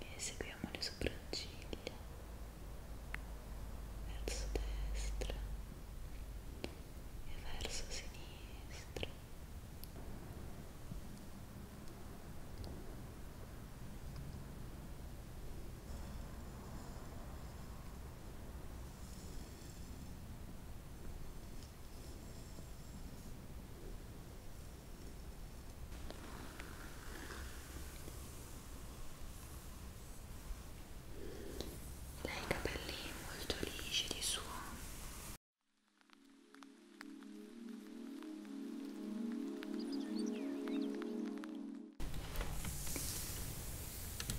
e seguiamo le sopracciglia verso destra e verso sinistra lei ha i capelli molto lisci di suo.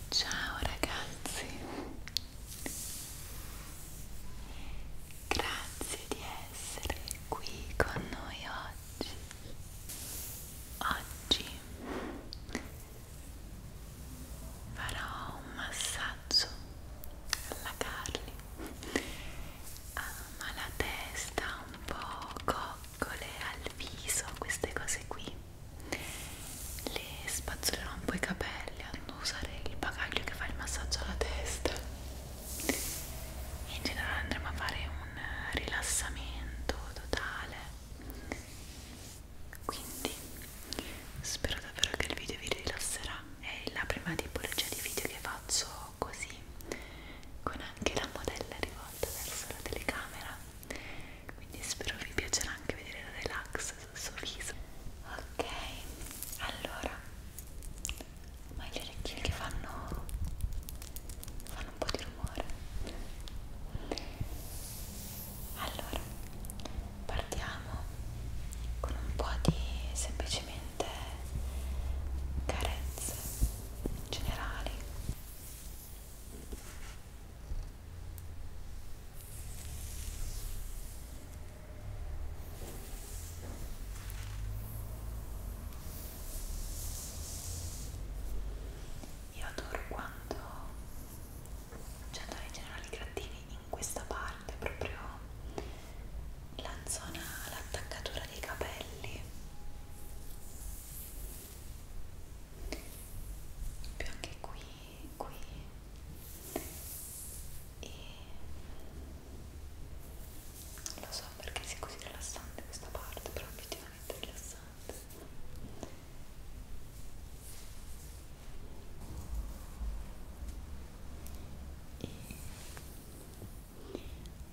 Ciao ragazzi, grazie di essere qui con noi oggi. Oggi farò un massaggio alla Carli, ma la testa un po' coccole al viso, queste cose qui. Le spazzolerò un po' i capelli non usare il bagaglio che fa il massaggio alla testa in generale andremo a fare un rilassamento totale quindi spero davvero che il video vi rilasserà è la prima tipologia di video che faccio così con anche la modella rivolta verso la telecamera quindi spero vi piacerà anche vedere la relax rosso sul suo viso ok allora ma gli orecchini che fanno fanno un po' di rumore allora partiamo con un po' di semplicemente carezze generali ok io adoro quando c'è da rigenerare i grattini in questa parte, proprio la zona, l'attaccatura dei capelli. Più anche qui qui e non lo so perché sia così rilassante questa parte però obiettivamente rilassante e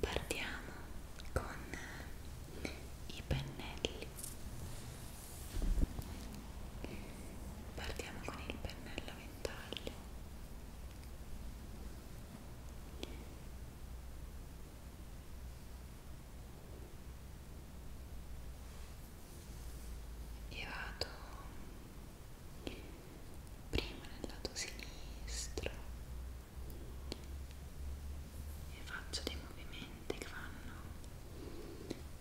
partiamo con i pennelli partiamo con il pennello la ventaglia e vado prima nel lato sinistro e faccio dei movimenti che vanno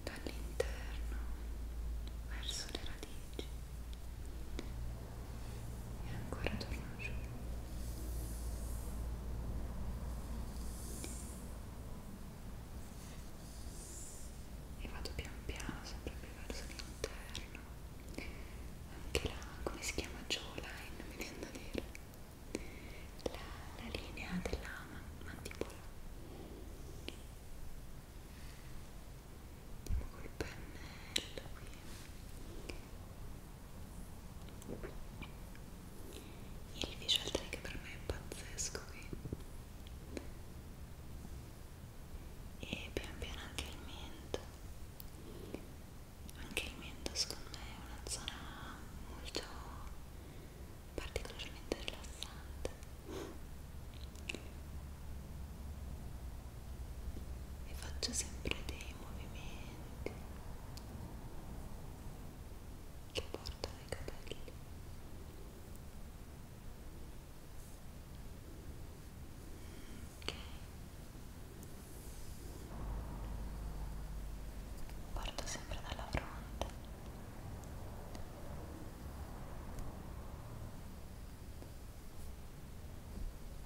dall'interno verso le radici e ancora torno giù e vado pian piano sempre più verso l'interno anche là come si chiama jawline mi viene da dire la, la linea della mandibola col pennello qui il visual trick per me è pazzesco qui e pian piano anche il mento anche il mento secondo me è una zona molto particolarmente rilassante e faccio sempre dei movimenti che portano i capelli ok Parto sempre dalla fronte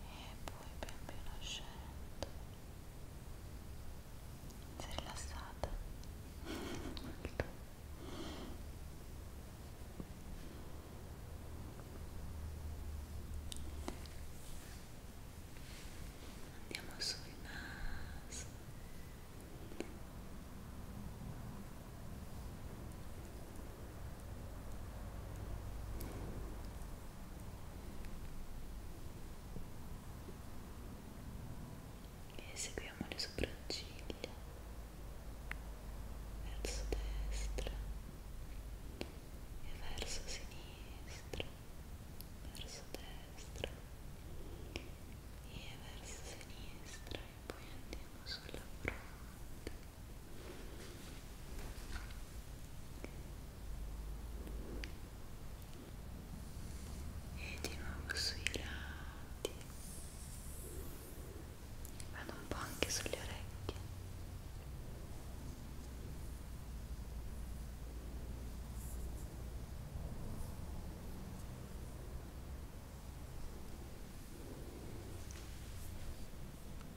e poi pian piano scendo si è rilassata molto andiamo sul naso e seguiamo le sopracciglia verso destra e verso sinistra verso destra e verso sinistra e poi andiamo sulla fronte e di nuovo sui lati vado un po' anche sulle orecchie e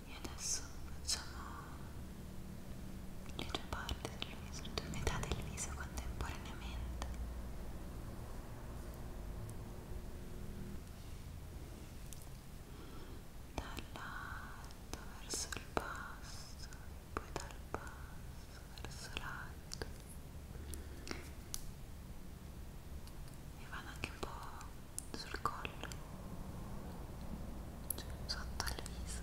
e adesso facciamo le due parti del viso, le due metà del viso contemporaneamente dall'alto verso il basso e poi dal basso verso l'alto e vado anche un po' sul collo cioè sotto al viso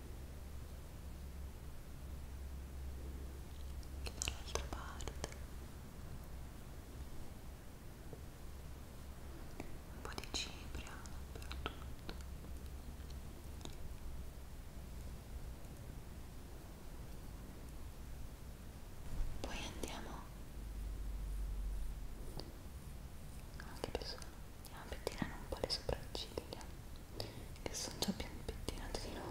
che dall'altra parte un po' di cipria dappertutto poi andiamo anche più su andiamo a pettinare un po' le sopracciglia che sono già più pettinate di loro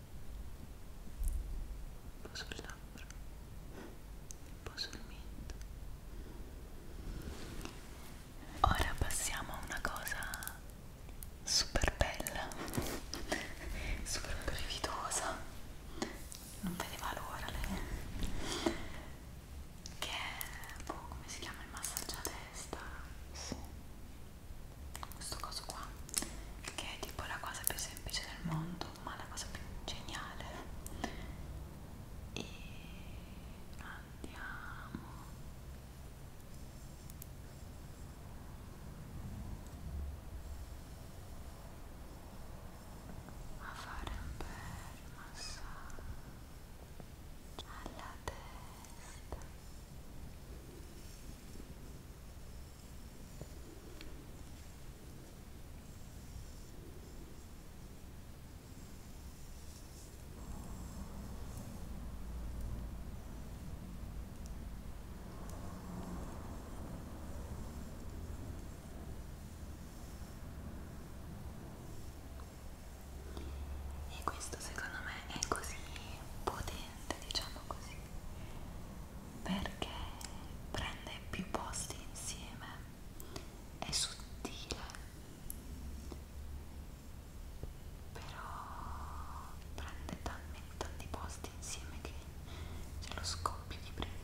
un po' sulle labbra, un po' sul mento. Ora passiamo a una cosa super bella, super brevitosa, non vedeva l'ora lei, che è, boh, come si chiama il massaggio a testa? Sì questo coso qua che è tipo la cosa più semplice del mondo ma la cosa più geniale e andiamo a fare un bel massaggio alla testa e questo secondo me è così potente ambiente, diciamo così, perché prende più posti insieme, è sottile, però prende talmente tanti posti insieme che c'è lo scoppio di brividi.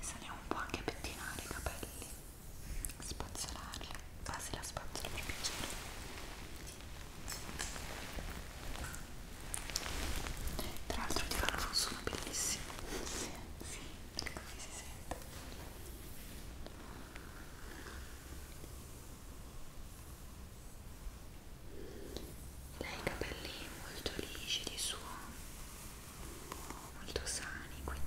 e saliamo un po' anche a pettinare i capelli spazzolarli quasi la spazzola per piacere tra l'altro ti fanno un suono bellissimo sì, sì, così si sente lei ha i capelli molto lisci di suo molto sani quindi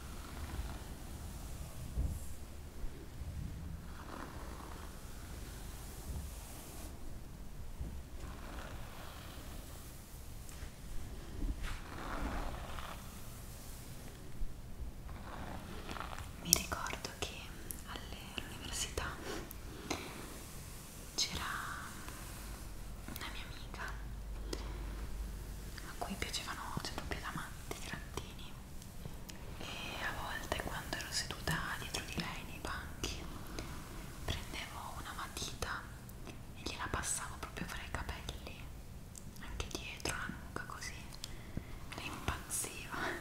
Mi ricordo che all'università c'era una mia amica a cui piacevano cioè, proprio da matti dei trattini e a volte quando ero seduta dietro di lei nei banchi prendevo una matita e gliela passavo proprio fra i capelli anche dietro la nuca così lei impazziva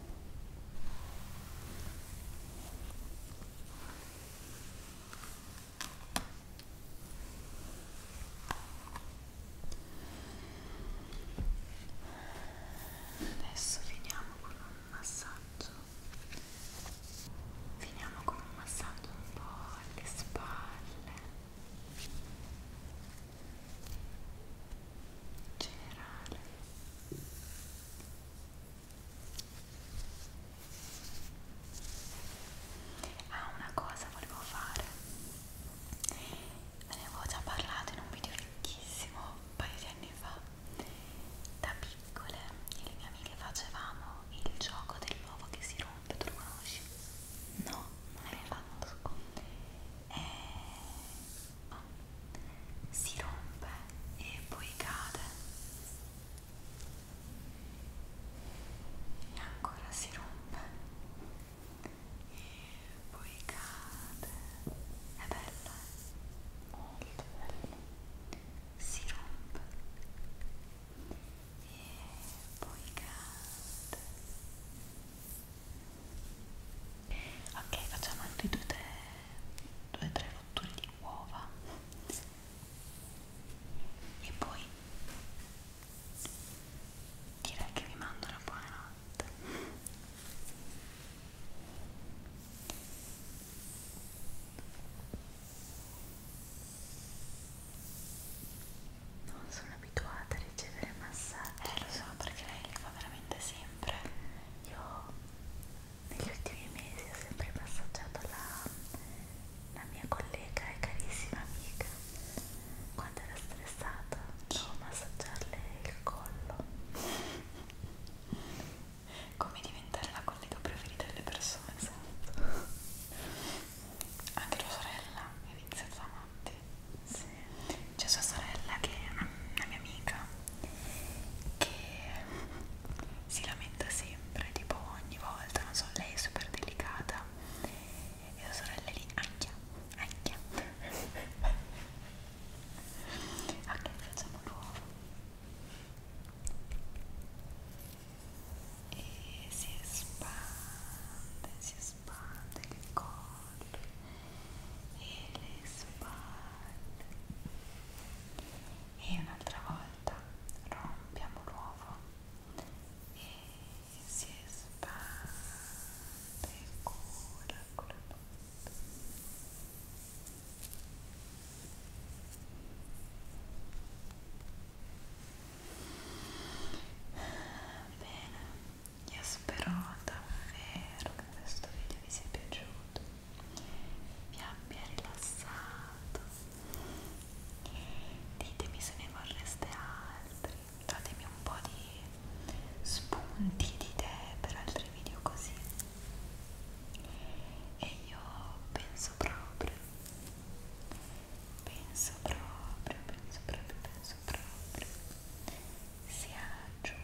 Adesso finiamo con un massaggio. Finiamo con un massaggio un po' alle spalle. Generale. Ah, una cosa volevo fare, ve ne avevo già parlato in un video vecchissimo un paio di anni fa. Da piccole io e le mie amiche facevamo il gioco dell'uovo che si rompe, tu lo conosci? No, non l'hai fatto. E... Oh, si rompe e poi cade e ancora si rompe e poi cade è bello eh? molto bello si rompe e poi cade ok facciamo altri due tre due tre rotture di uova e poi direi che vi mando una buona notte non sono abituata a ricevere massaggi eh lo so perché lei li fa veramente sempre io negli ultimi mesi ho sempre passeggiato la, la mia collega e carissima amica quando era stressata devo massaggiarle il collo come diventare la collega preferita delle persone esatto. anche tua sorella è iniziata avanti sì c'è sua sorella che è una, una mia amica che si lamenta sempre, tipo ogni volta, non so, lei è super delicata e la sorella è lì, anchia, anchia ok, facciamo l'uovo e si espande, si espande il corpo e le spalle e un'altra volta rompiamo l'uovo e si espande cura con la bocca bene io spero davvero che questo video vi sia piaciuto, vi abbia rilassato. Ditemi se ne vorreste altri, datemi un po' di spunti di idee per altri video così. E io penso proprio, penso proprio, penso proprio, penso proprio sia giunto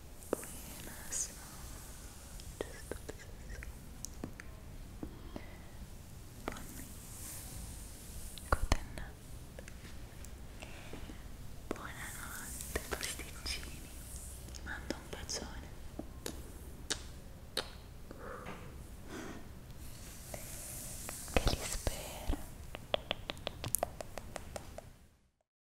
Buenas noches, dulces Buonanotte, pasticcini. Ti mando un bacione. Che li spero.